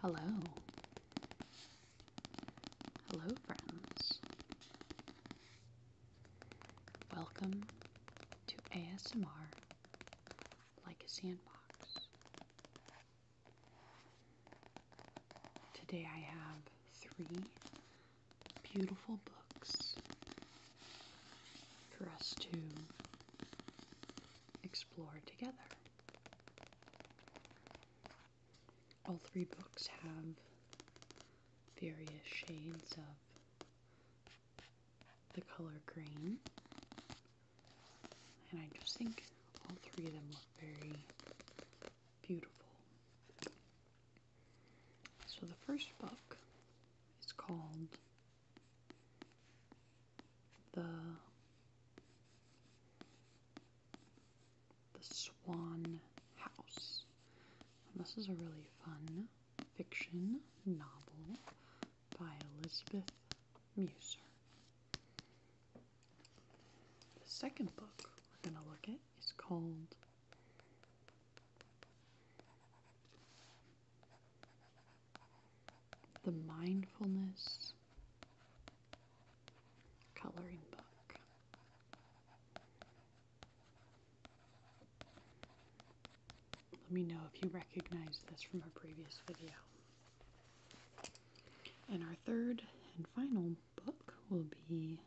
Hello. Hello, friends. Welcome to ASMR Like a Sandbox. Today I have three beautiful books for us to explore together. All three books have various shades of the color green, and I just think all three of them look very beautiful. So, the first book is called the the Swan House. this is a really fun fiction novel by Elizabeth Musser. The second book we're going to look at is called the Mindfulness Coloring Book. Let me know if you recognize this from a previous video. And our third and final book will be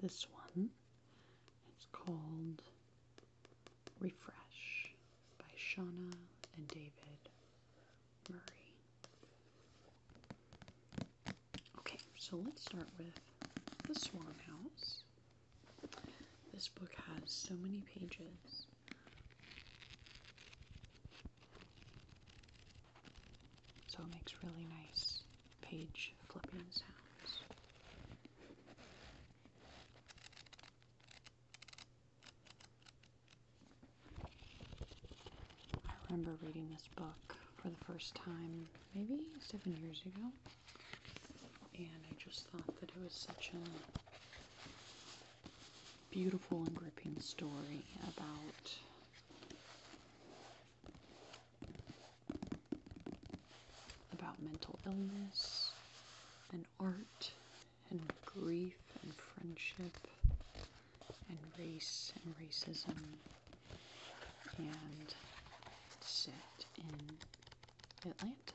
this one. It's called Refresh by Shauna and David Murray. Okay, so let's start with The Swan House. This book has so many pages. So it makes really nice page flipping sounds. I remember reading this book for the first time maybe seven years ago, and I just thought that it was such a beautiful and gripping story about about mental illness and art and grief and friendship and race and racism and set in Atlanta.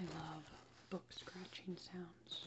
I love book scratching sounds.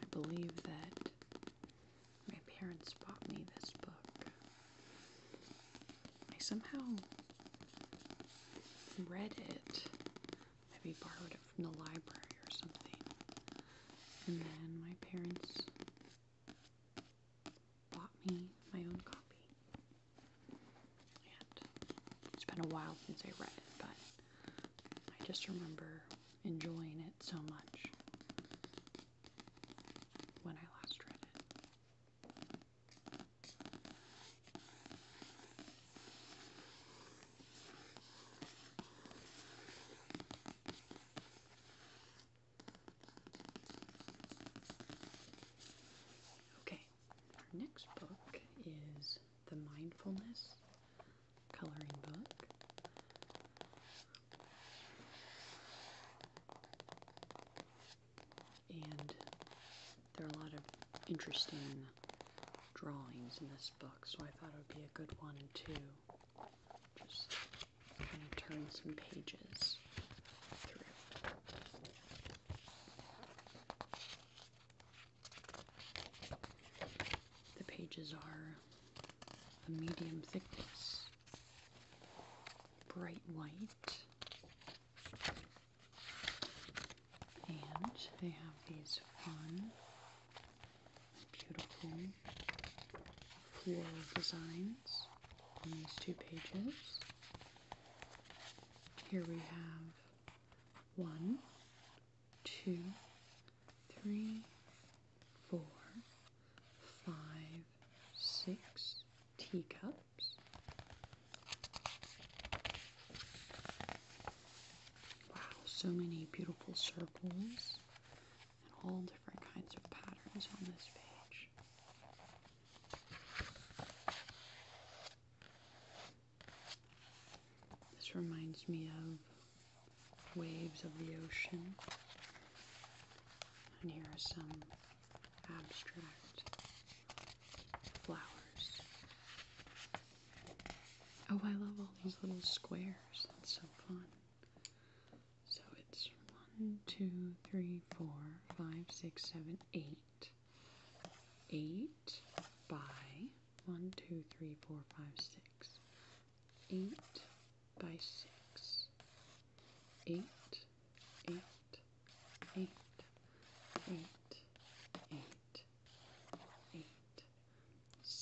I believe that my parents bought me this book. I somehow read it, maybe borrowed it from the library or something, and then my parents bought me my own copy. And it's been a while since I read it, but I just remember enjoying it so much when I last read it. Okay, our next book is The Mindfulness Coloring Book. And there are a lot of interesting drawings in this book, so I thought it would be a good one to just kind of turn some pages through. The pages are a medium thickness, bright white, and they have these fun, beautiful floral designs on these two pages. Here we have one, two, three, four, five, six teacups. Wow, so many beautiful circles and all different kinds of patterns on this page. This reminds me of waves of the ocean. And here are some abstract flowers. Oh, I love all these little squares. That's so fun. So it's one, two, three, four, five, six, seven, eight. 8 by 1, 2, 3, 4, 5, 6. 8 by 6. 8, 8, 8,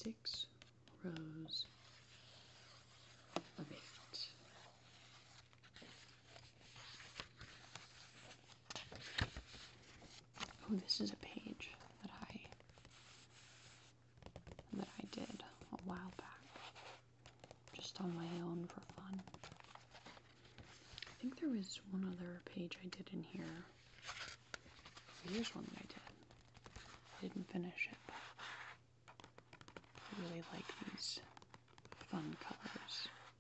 6 rows of 8. Oh, this is a page that I that I did a while back, just on my own for fun. I think there was one other page I did in here. Here's one that I did. I didn't finish it. But I really like these fun colors.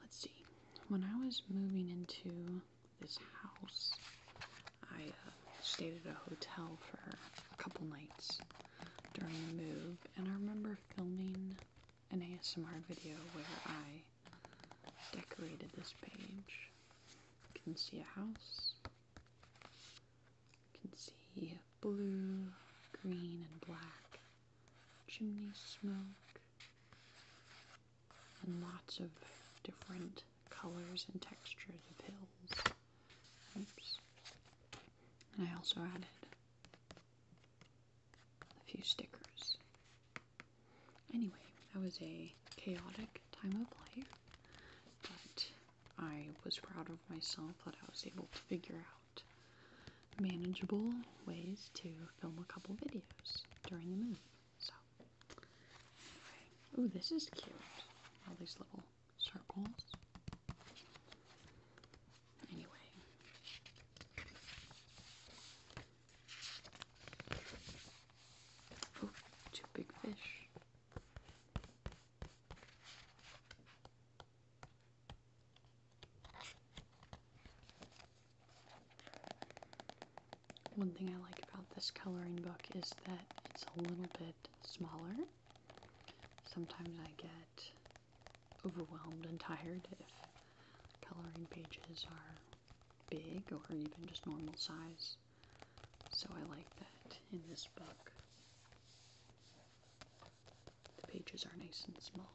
Let's see. When I was moving into this house, I uh, stayed at a hotel for a couple nights during the move, and I remember filming an ASMR video where I decorated this page. You can see a house. You can see blue, green, and black chimney smoke, and lots of different colors and textures of hills. Oops. And I also added a few stickers. Anyway, that was a chaotic time of life, but I was proud of myself that I was able to figure out manageable ways to film a couple videos during the move. So, anyway. Oh, this is cute. All these little circles. Anyway. Oh, two big fish. One thing I like about this coloring book is that it's a little bit smaller. Sometimes I get overwhelmed and tired if coloring pages are big or even just normal size. So I like that in this book. The pages are nice and small.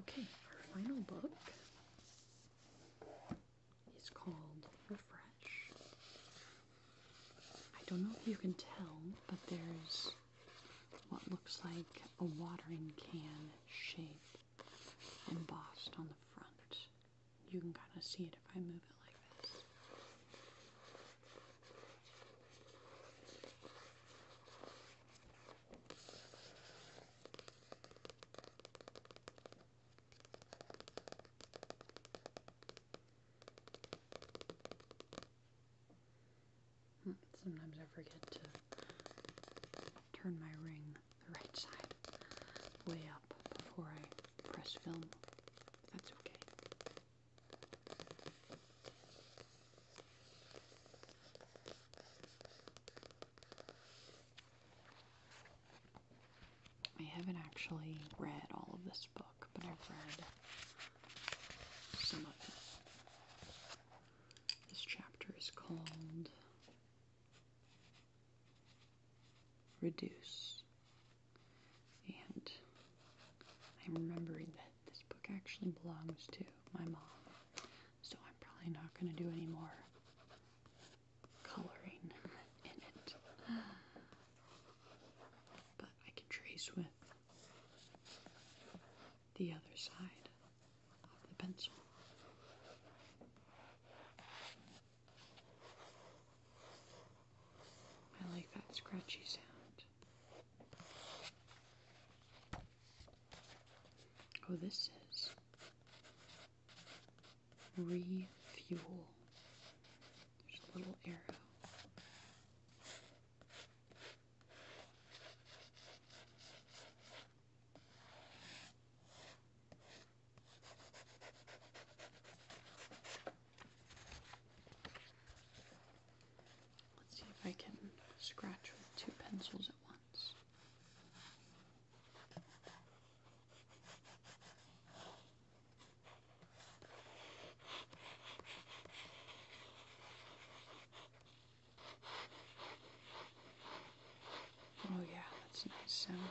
Okay, our final book it's called Refresh. I don't know if you can tell, but there's what looks like a watering can shape embossed on the front. You can kind of see it if I move it like this. Hmm, sometimes I forget to turn my ring the right side way up before I press film. That's okay. I haven't actually read all of this book, but I've read some of it. This chapter is called Reduce. And I'm remembering that this book actually belongs to my mom, so I'm probably not going to do any more coloring in it. But I can trace with the other side of the pencil. I like that scratchy sound. Oh, this is refuel. There's a little arrow. Let's see if I can scratch with two pencils at once ones. Oh, yeah, that's a nice sound.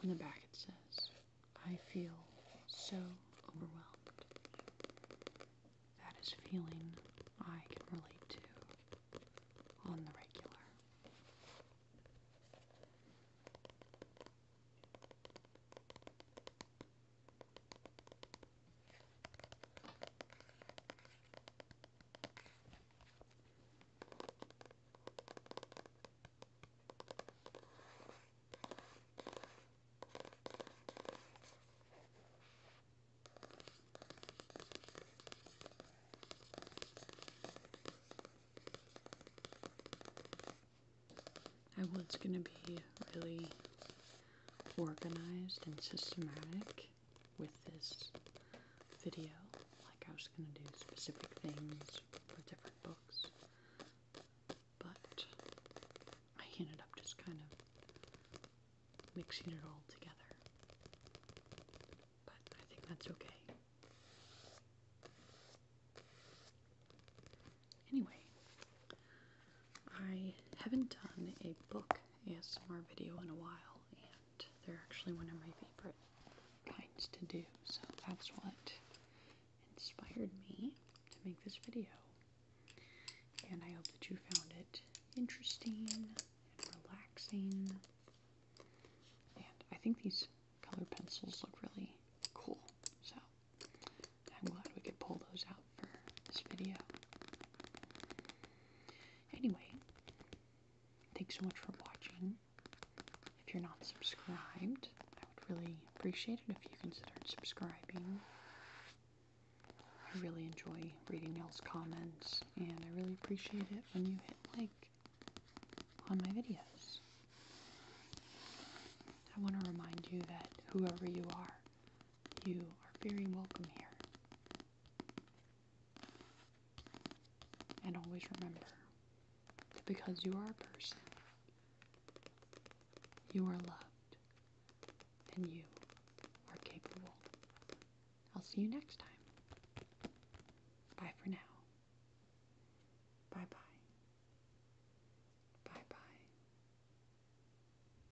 On the back it says, I feel so overwhelmed. That is feeling I can relate to on the regular. I was going to be really organized and systematic with this video. Like I was going to do specific things for different books, but I ended up just kind of mixing it all together. But I think that's okay. Anyway, I haven't done a book Yes, more video in a while, and they're actually one of my favorite kinds to do, so that's what inspired me to make this video. And I hope that you found it interesting and relaxing. And I think these colored pencils look really cool, so I'm glad we could pull those out for this video. Anyway, thanks so much for watching. If you're not subscribed, I would really appreciate it if you considered subscribing. I really enjoy reading y'all's comments, and I really appreciate it when you hit like on my videos. I want to remind you that whoever you are, you are very welcome here. And always remember that because you are a person, you are loved, and you are capable. I'll see you next time. Bye for now. Bye bye. Bye bye.